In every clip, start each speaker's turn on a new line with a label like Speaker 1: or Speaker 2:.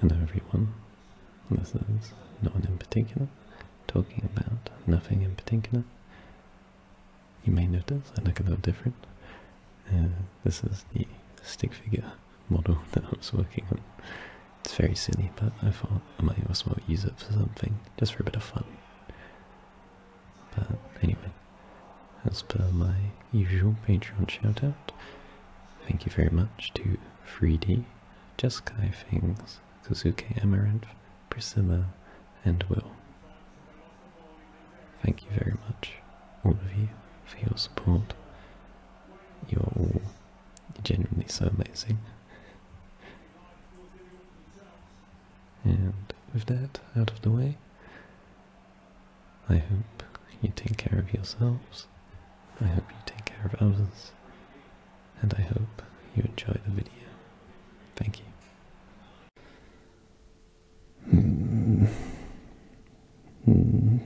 Speaker 1: Hello everyone, this is no one in particular, talking about nothing in particular. You may notice I look a little different. Uh, this is the stick figure model that I was working on. It's very silly, but I thought I might as well use it for something, just for a bit of fun. But anyway, that's per my usual Patreon shout out. Thank you very much to Freedy, Jeskai Fings, Kazuke Amaranth, Priscilla, and Will. Thank you very much, all of you, for your support. You are all genuinely so amazing. And with that out of the way, I hope you take care of yourselves. I hope you take care of others. And I hope you enjoy the video. Thank you.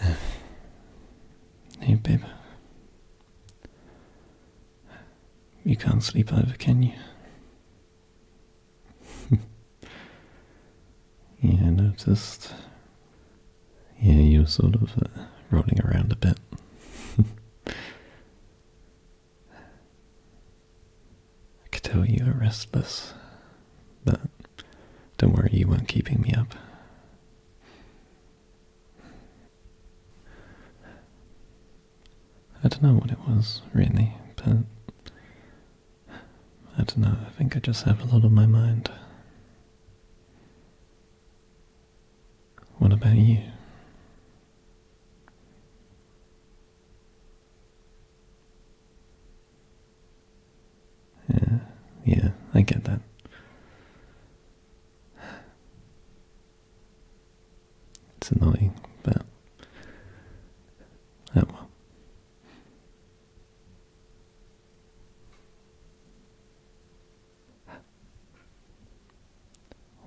Speaker 1: Hey, babe. You can't sleep over, can you? yeah, noticed. Yeah, you are sort of uh, rolling around a bit. I could tell you were restless. But don't worry, you weren't keeping me up. I don't know what it was, really, but I don't know, I think I just have a lot on my mind. What about you? Yeah, yeah, I get that. It's annoying, but oh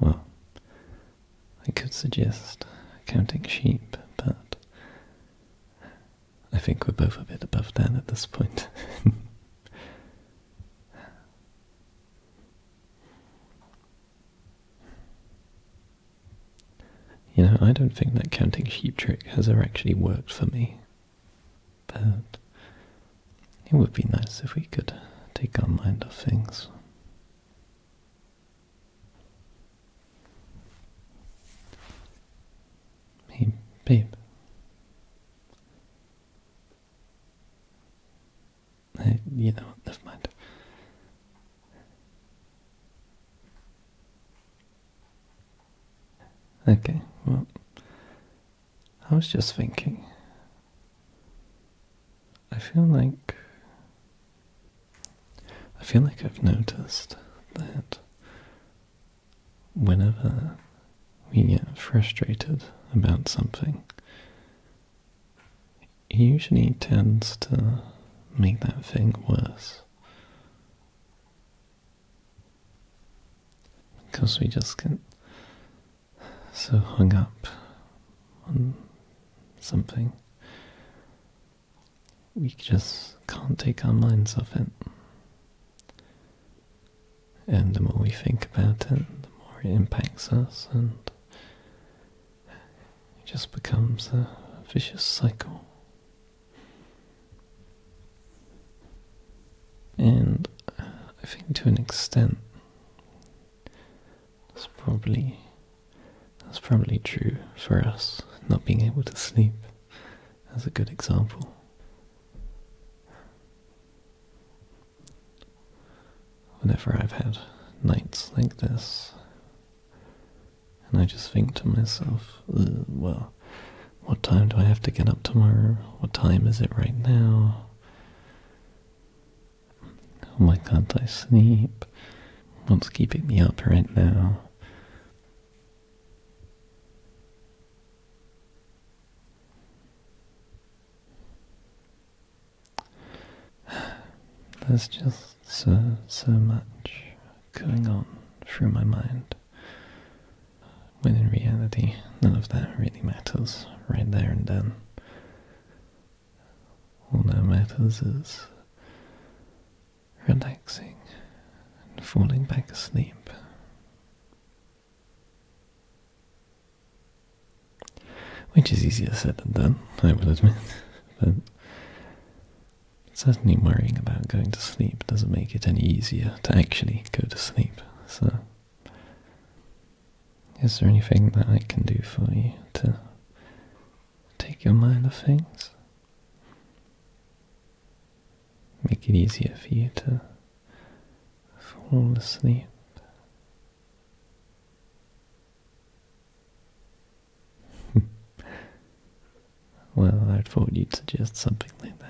Speaker 1: Well, I could suggest counting sheep, but I think we're both a bit above that at this point. you know, I don't think that counting sheep trick has ever actually worked for me. But it would be nice if we could take our mind off things. Hey, babe. you know, never mind. Okay, well, I was just thinking. I feel like. I feel like I've noticed that whenever we get frustrated about something, it usually tends to make that thing worse. Because we just get so hung up on something we just can't take our minds off it. And the more we think about it, the more it impacts us, and it just becomes a vicious cycle. And I think to an extent, that's probably that's probably true for us not being able to sleep as a good example. Whenever I've had nights like this, and I just think to myself, well, what time do I have to get up tomorrow? What time is it right now? Why can't I sleep? What's keeping me up right now? There's just so, so much going on through my mind, when in reality none of that really matters right there and then. All that matters is relaxing and falling back asleep. Which is easier said than done, I will admit, but certainly worrying about going to sleep doesn't make it any easier to actually go to sleep. So, is there anything that I can do for you to take your mind off things? make it easier for you to fall asleep. well, I thought you'd suggest something like that.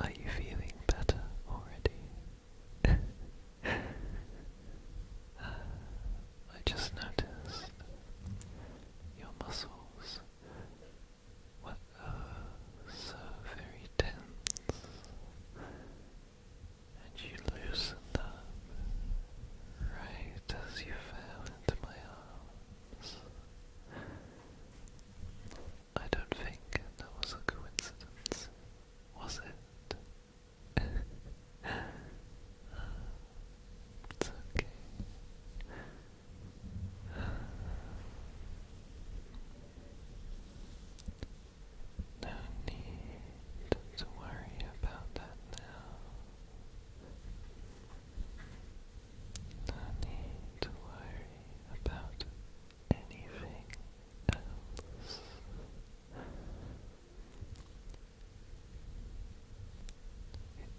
Speaker 1: Are you feeling better already? I just noticed your muscles were uh, so very tense, and you loosened up right as you fell into my arms. I don't think that was a coincidence, was it? it's okay. No need to worry about that now. No need to worry about anything else.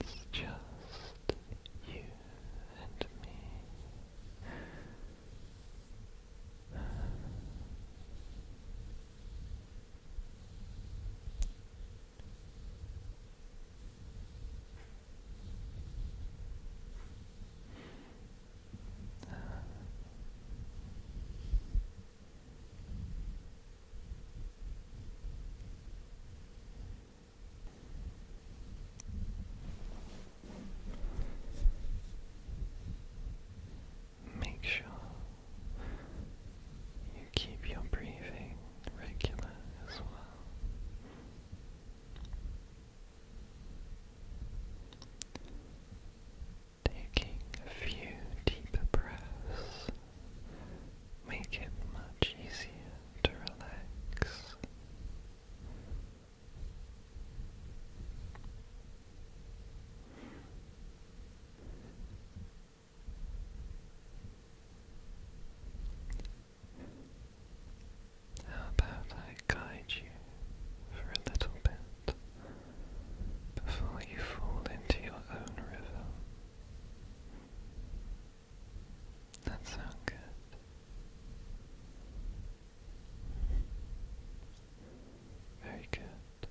Speaker 1: It's just you and me. Make sure you keep your breathing regular as well. Taking a few deep breaths make it much easier to relax. How about I guide you for a little bit before you fall into your own river. That sounds good. Very good.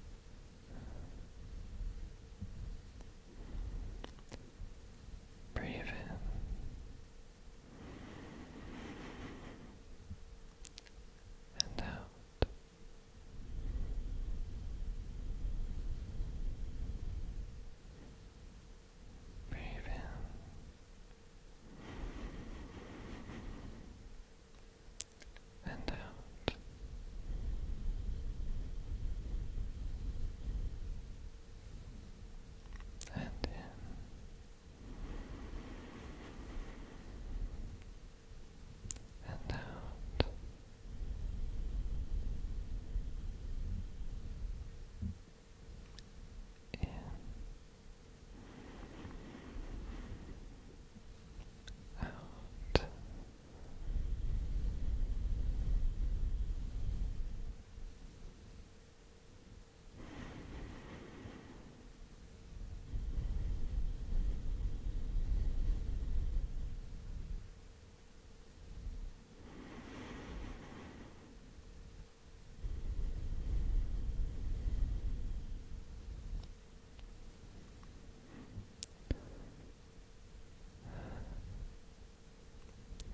Speaker 1: Breathe in and out. Breathe in and out. And in and out. In out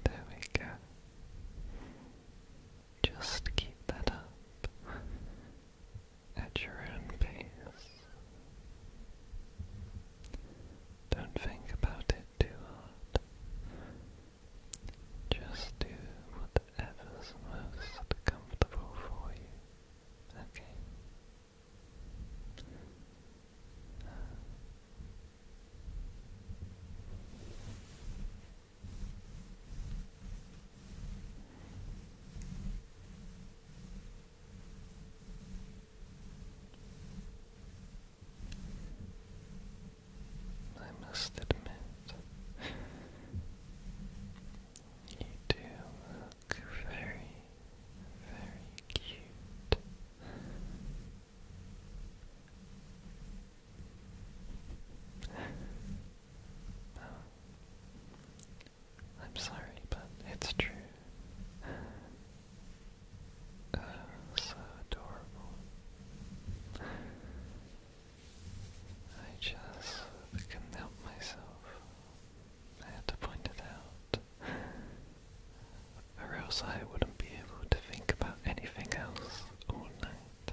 Speaker 1: there we go. Just keep that up at your own pace. Don't think about it too hard. Just do whatever's most comfortable for you. Okay. I must admit, you do look very, very cute. I'm sorry, but it's true. so adorable. I just couldn't help myself. I had to point it out. Or else I wouldn't be able to think about anything else all night.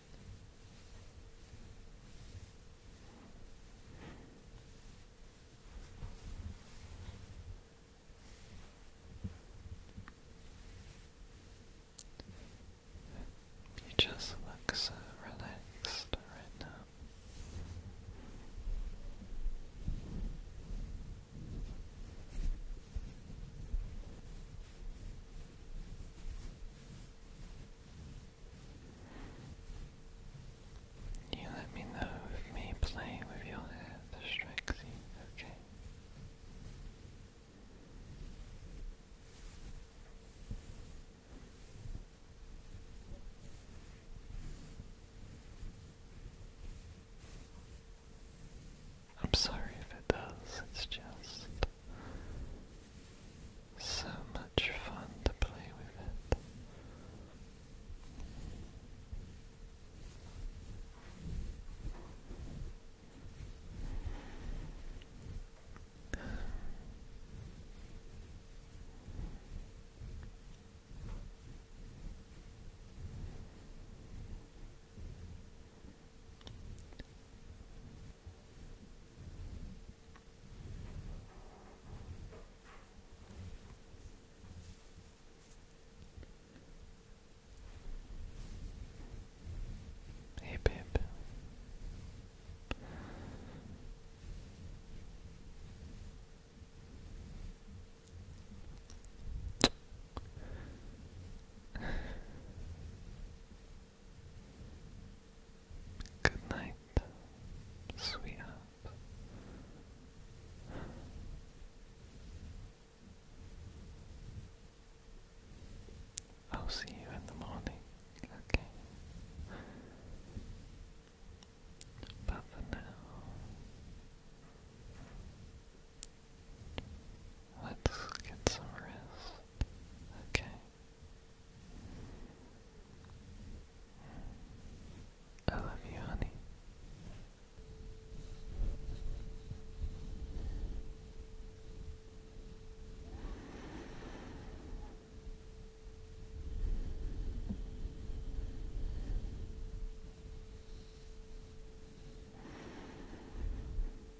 Speaker 1: You just look so relaxed right now. You let me know if me playing with your hair distracts you, okay? I'm sorry if it does, it's just so much fun to play with it. Hey, babe. Good night, sweetheart. I'll see you in the morning, okay? But for now, let's get some rest. Okay. I love you, honey.